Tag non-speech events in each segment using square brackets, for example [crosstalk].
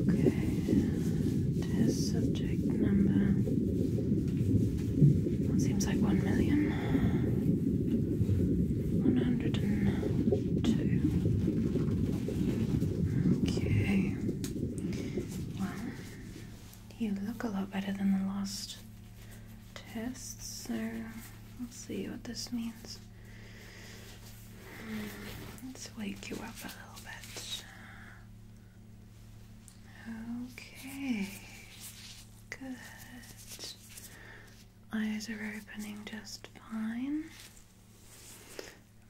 Okay, test subject number. seems like one million. One hundred and two. Okay. Well, you look a lot better than the last test, so we'll see what this means. Let's wake you up a little bit. Okay, good. Eyes are opening just fine.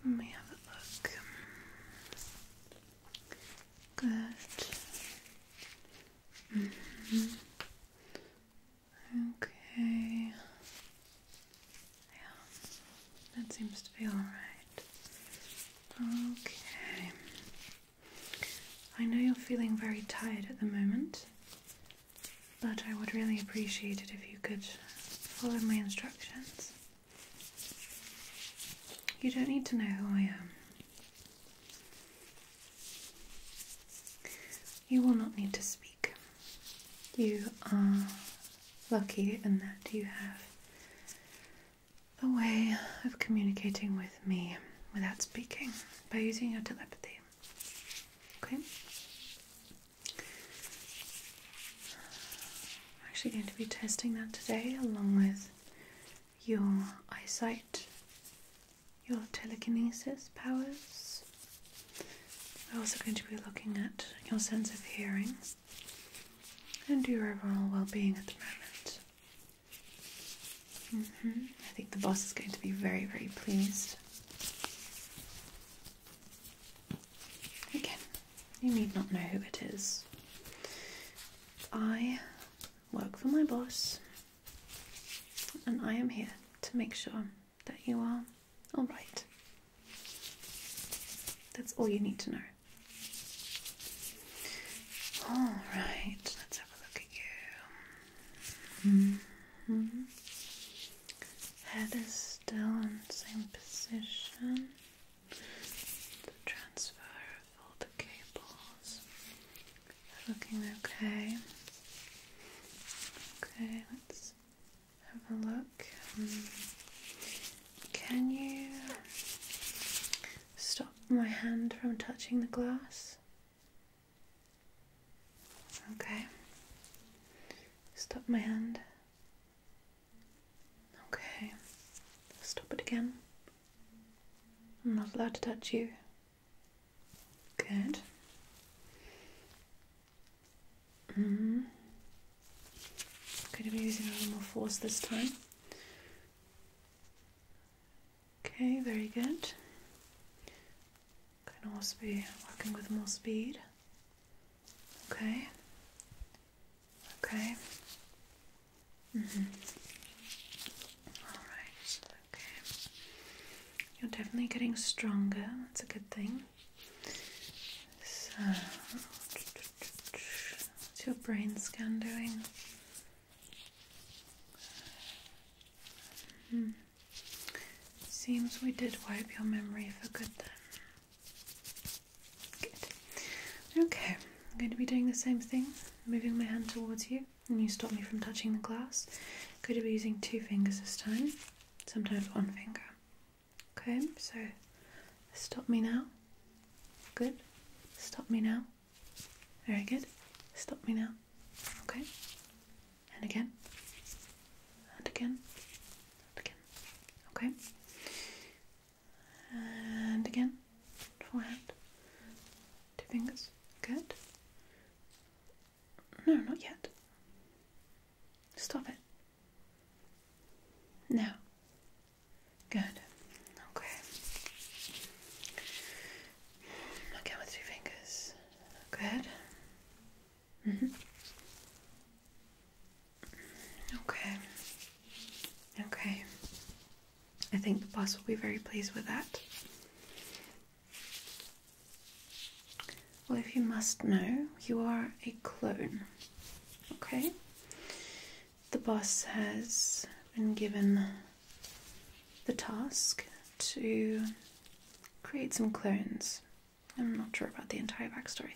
Let me have a look. Good. Mm-hmm. Okay. Yeah, that seems to be alright. Okay. I know you're feeling very tired at the moment, but I would really appreciate it if you could follow my instructions. You don't need to know who I am. You will not need to speak. You are lucky in that you have a way of communicating with me without speaking by using your telepathy. Okay? I'm actually going to be testing that today along with your eyesight your telekinesis powers. We're also going to be looking at your sense of hearing and your overall well being at the moment. Mm-hmm. I think the boss is going to be very, very pleased. Again, you need not know who it is. I work for my boss, and I am here to make sure that you are all right. That's all you need to know. All right, let's have a look at you. Mm-hmm. Head is still in the same position. The transfer of all the cables looking okay. Okay, let's have a look. Um, can you stop my hand from touching the glass? Okay. Stop my hand. Okay. Stop it again. I'm not allowed to touch you. Good. Mm -hmm. Going to be using a little more force this time. Okay, very good. Can also be working with more speed. Okay. Okay. -hmm. All right. Okay. You're definitely getting stronger. That's a good thing. So, what's your brain scan doing? Hmm. Seems we did wipe your memory for good then. Good. Okay, I'm going to be doing the same thing, moving my hand towards you and you stop me from touching the glass. i going to be using two fingers this time, sometimes one finger. Okay, so stop me now. Good. Stop me now. Very good. Stop me now. Okay. And again. And again. And again. Okay. And again. Forehead. Two fingers. Good. No, not yet. Stop it. No. Good. Okay. Again with two fingers. Good. Mm-hmm. Okay. Okay. I think the boss will be very pleased with that. Well, if you must know, you are a clone. Okay? The boss has been given the task to create some clones. I'm not sure about the entire backstory,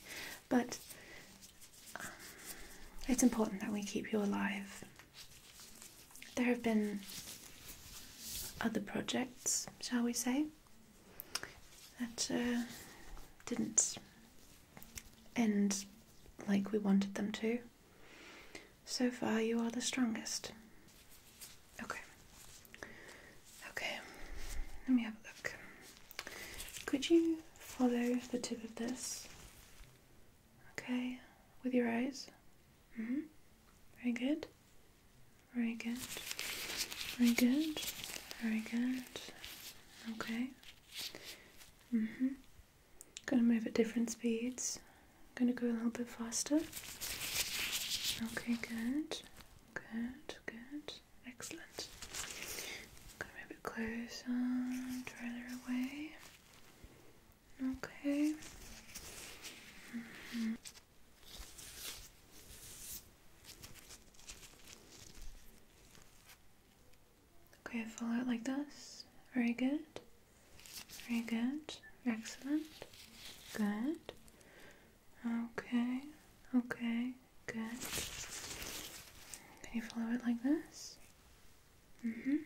but um, it's important that we keep you alive there have been other projects, shall we say, that uh, didn't end like we wanted them to. So far, you are the strongest. Okay. Okay. Let me have a look. Could you follow the tip of this? Okay, with your eyes. Mm -hmm. Very good. Very good. Very good. Very good. Okay. Mm hmm. Gonna move at different speeds. Gonna go a little bit faster. Okay, good. Good, good. Excellent. Gonna move it closer, further away. Okay. Mm-hmm. Okay, follow it like this. Very good. Very good. Excellent. Good. Okay. Okay. Good. Can you follow it like this? Mm hmm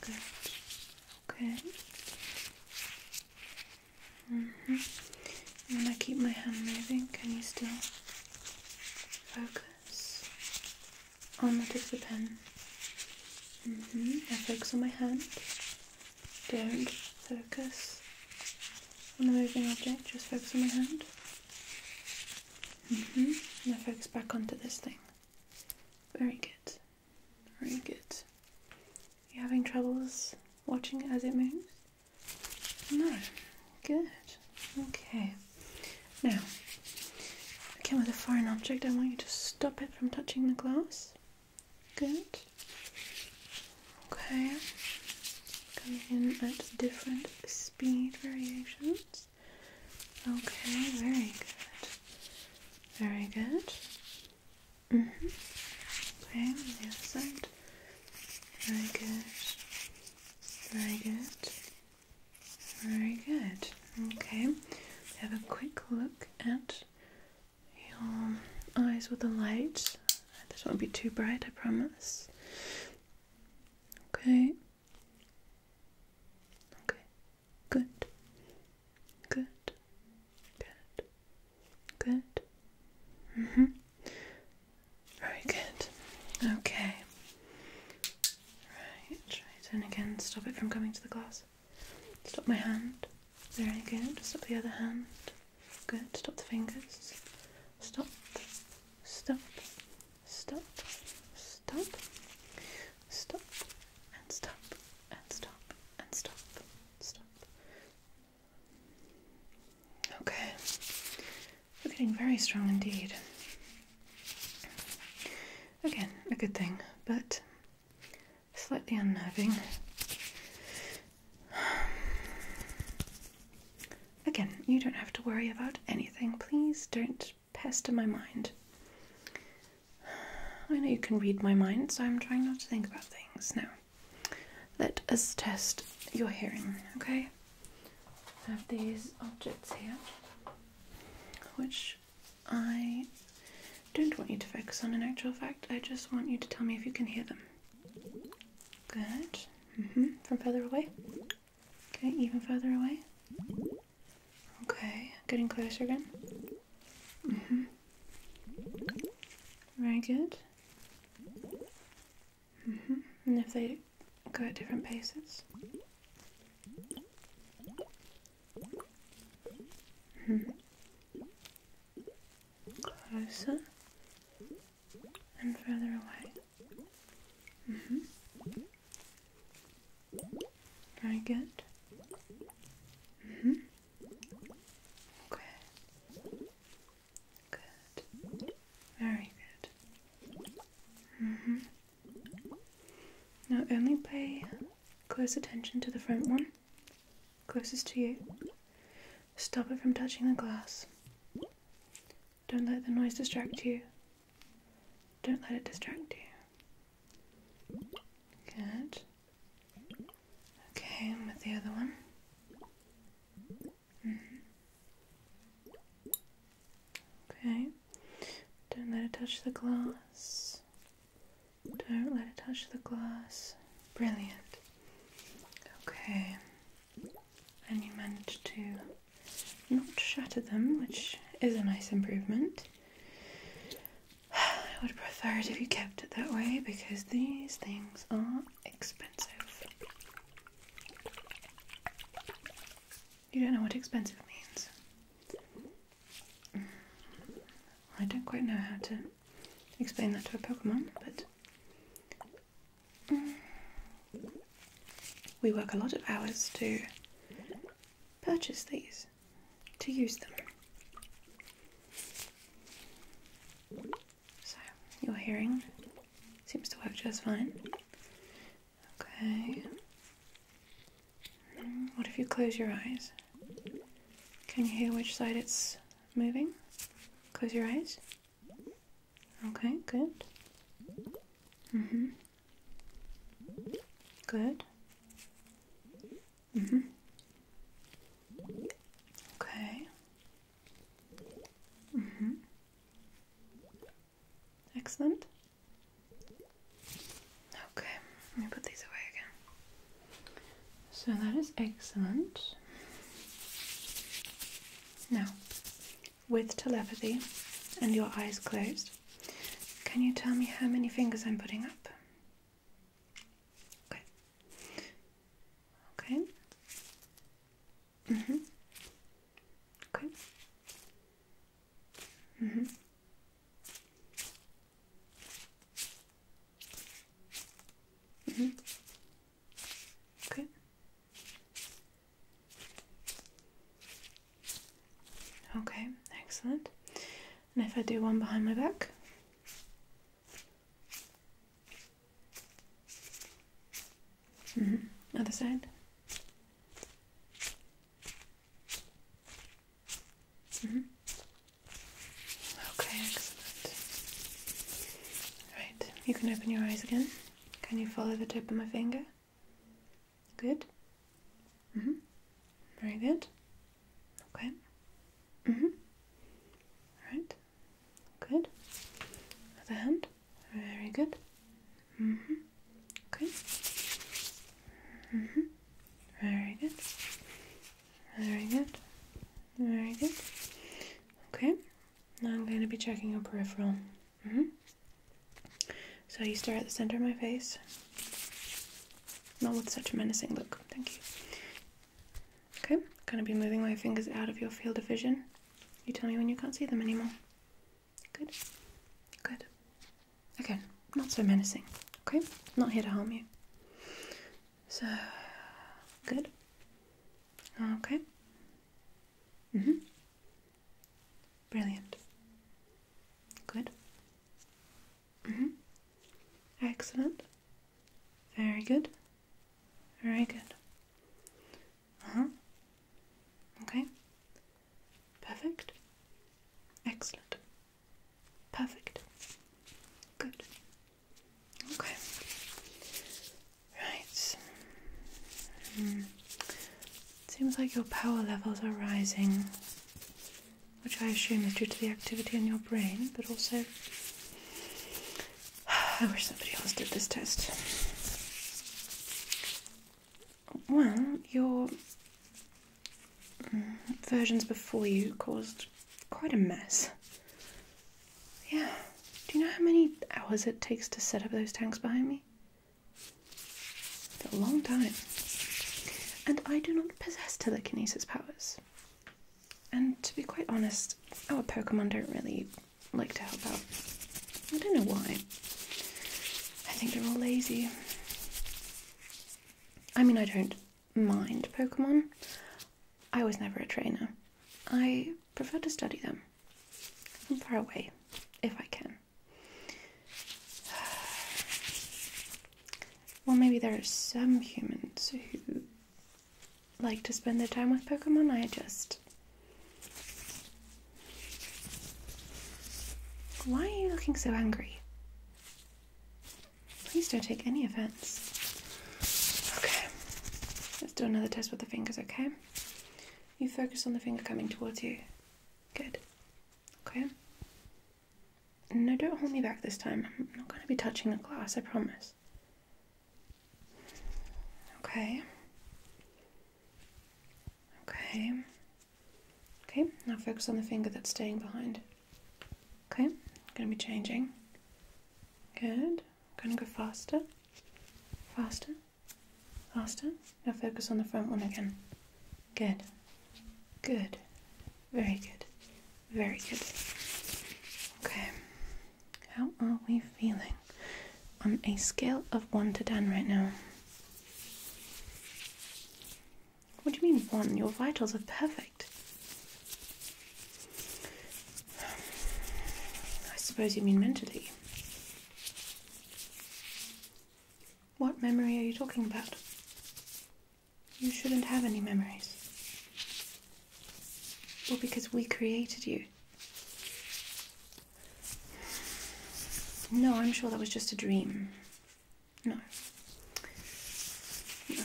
Good. Okay. Mhm. Mm I'm gonna keep my hand moving. Can you still focus on the tip of the pen? Mhm. Mm now focus on my hand. Don't focus on the moving object. Just focus on my hand. Mhm. Mm now focus back onto this thing. Very good. Very good. You having troubles watching as it moves? No. Good. Okay. Now, I came with a foreign object, I want you to stop it from touching the glass. Good. Okay. Coming in at different speed variations. Okay, very good. Very good. Mm-hmm. Okay, the other side. Very good. Very good. Very good. Okay. have a quick look at your eyes with the light. This won't be too bright, I promise. Okay. Okay. Good. Good. Good. Good. Mhm. Mm Very good. Okay. Right. Right. And again, stop it from coming to the glass. Stop my hand. Very good. Stop the other hand. Good. Stop the fingers. Stop. Stop. Stop. Stop. Stop and stop and stop and stop stop. Okay, we're getting very strong indeed. Again, a good thing, but slightly unnerving. Again, you don't have to worry about anything. Please don't pester my mind. I know you can read my mind, so I'm trying not to think about things. Now, let us test your hearing, okay? I have these objects here, which I don't want you to focus on in actual fact. I just want you to tell me if you can hear them. Good. Mm hmm From further away? Okay, even further away? Okay, getting closer again. hmm Very good. hmm And if they go at different paces. hmm Closer and further away. hmm very good. Mm hmm. Okay. Good. Very good. Mm hmm. Now only pay close attention to the front one, closest to you. Stop it from touching the glass. Don't let the noise distract you. Don't let it distract you. Good. Okay, with the other one. Mm-hmm. Okay. Don't let it touch the glass. Don't let it touch the glass. Brilliant. Okay. And you managed to not shatter them, which is a nice improvement. I would prefer it if you kept it that way because these things are expensive. You don't know what expensive means. Mm. I don't quite know how to explain that to a Pokemon, but. Mm. We work a lot of hours to purchase these to use them. So, your hearing seems to work just fine. Okay. Hmm, what if you close your eyes? Can you hear which side it's moving? Close your eyes. Okay, good. Mhm. Good. Mm hmm Okay. Mm hmm Excellent. Okay, let me put these away again. So that is excellent. Now, with telepathy and your eyes closed, can you tell me how many fingers I'm putting up? Okay. Okay. Mhm. Mm okay. Mhm. Mm mhm. Mm okay. Okay, excellent. And if I do one behind my back. Mm-hmm, other side. Mm-hmm. Okay, excellent. Right, you can open your eyes again. Can you follow the tip of my finger? Good. Mm-hmm. Very good. Okay. Mm-hmm. Alright. Good. Other hand. Very good. Mm-hmm. Okay. Mm-hmm. Very good. Very good. Very good. Okay. Now I'm going to be checking your peripheral. hmm so you stare at the center of my face. Not with such a menacing look, thank you. Okay, I'm gonna be moving my fingers out of your field of vision. You tell me when you can't see them anymore. Good, good. Okay, not so menacing, okay? Not here to harm you. So, good. Okay. Mm hmm. Brilliant. Good. Mm -hmm. Excellent. Very good. Very good. Uh huh. Okay. Perfect. Excellent. Perfect. Good. Okay. Right. Mm seems like your power levels are rising, which I assume is due to the activity in your brain, but also. [sighs] I wish somebody else did this test. Well, your mm, versions before you caused quite a mess. Yeah. Do you know how many hours it takes to set up those tanks behind me? For a long time. And I do not possess telekinesis powers. And to be quite honest, our Pokemon don't really like to help out. I don't know why. I think they're all lazy. I mean, I don't mind Pokemon. I was never a trainer. I prefer to study them from far away, if I can. [sighs] Well, maybe there are some humans who like to spend their time with Pokemon. I just. Why are you looking so angry? Please don't take any offense. Okay. Let's do another test with the fingers, okay? You focus on the finger coming towards you. Good. Okay. No, don't hold me back this time. I'm not going to be touching the glass, I promise. Okay. Okay. Okay, now focus on the finger that's staying behind. Okay, going to be changing. Good. going to go faster. Faster. Faster. Now focus on the front one again. Good. Good. Very good. Very good. Okay. How are we feeling on a scale of 1 to 10 right now? What do you mean 1? Your vitals are perfect. I suppose you mean mentally. What memory are you talking about? You shouldn't have any memories. Well, because we created you. No, I'm sure that was just a dream. No. No.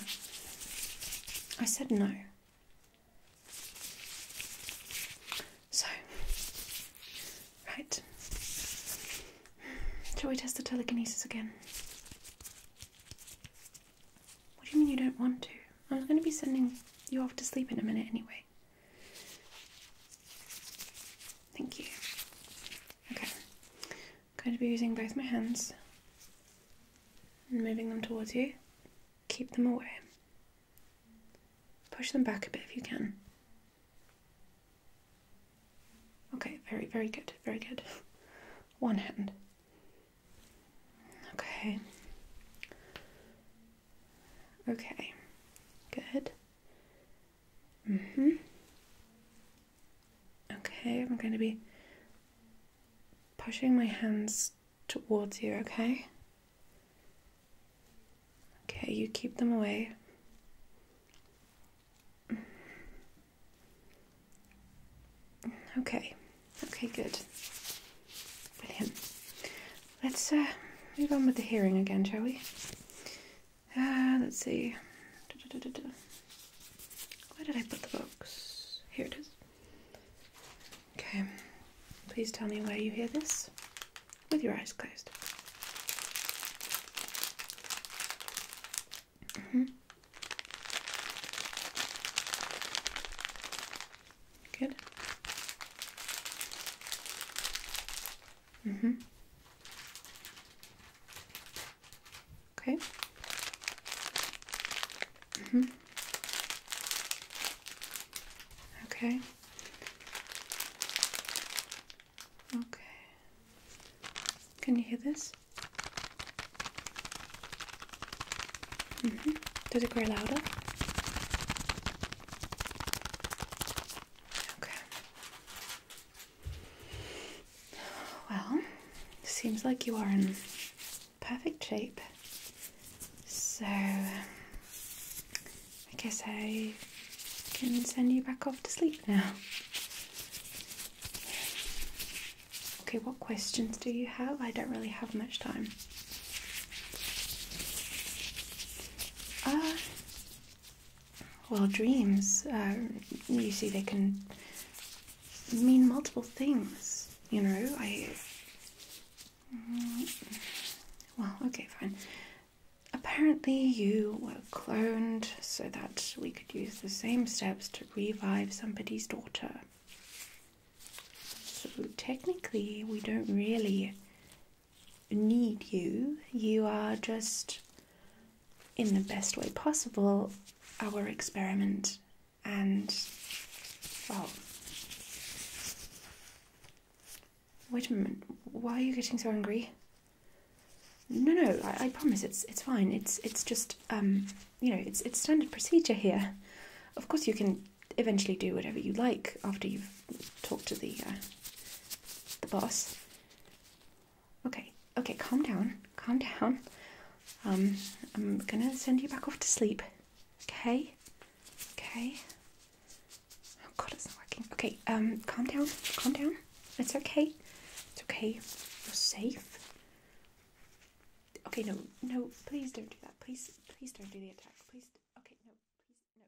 I said no. So, right. Shall we test the telekinesis again? What do you mean you don't want to? I am going to be sending you off to sleep in a minute anyway. Thank you. Okay. I'm going to be using both my hands and moving them towards you. Keep them away. Push them back a bit if you can. Okay, very, very good, very good. One hand. Okay. Okay, good. Mm-hmm. Okay, I'm going to be pushing my hands towards you, okay? Okay, you keep them away. Okay. Okay, good. Brilliant. Let's uh, move on with the hearing again, shall we? Uh, let's see. Where did I put the box? Here it is. Okay. Please tell me where you hear this with your eyes closed. Mm -hmm. Good. Mm-hmm. Okay. Mm-hmm. Okay. Okay. Can you hear this? -hmm. Does it grow louder? Okay. Well, seems like you are in perfect shape. So I guess I can send you back off to sleep now. Okay, what questions do you have? I don't really have much time. Uh, well, dreams, uh, you see, they can mean multiple things, you know. I Mm-hmm. well, okay, fine. Apparently, you were cloned so that we could use the same steps to revive somebody's daughter. So, technically, we don't really need you. You are just, in the best way possible, our experiment. And, well, Wait a minute. Why are you getting so angry? No, no. I, promise it's it's fine. It's it's just um, you know it's it's standard procedure here. Of course you can eventually do whatever you like after you've talked to the uh, the boss. Okay, okay. Calm down. Calm down. Um, I'm gonna send you back off to sleep. Okay. Okay. Oh god, it's not working. Okay, um, calm down, calm down. It's okay. It's okay. You're safe. Okay, no, no, please don't do that. Please, please don't do the attack. Please, okay, no, please, no.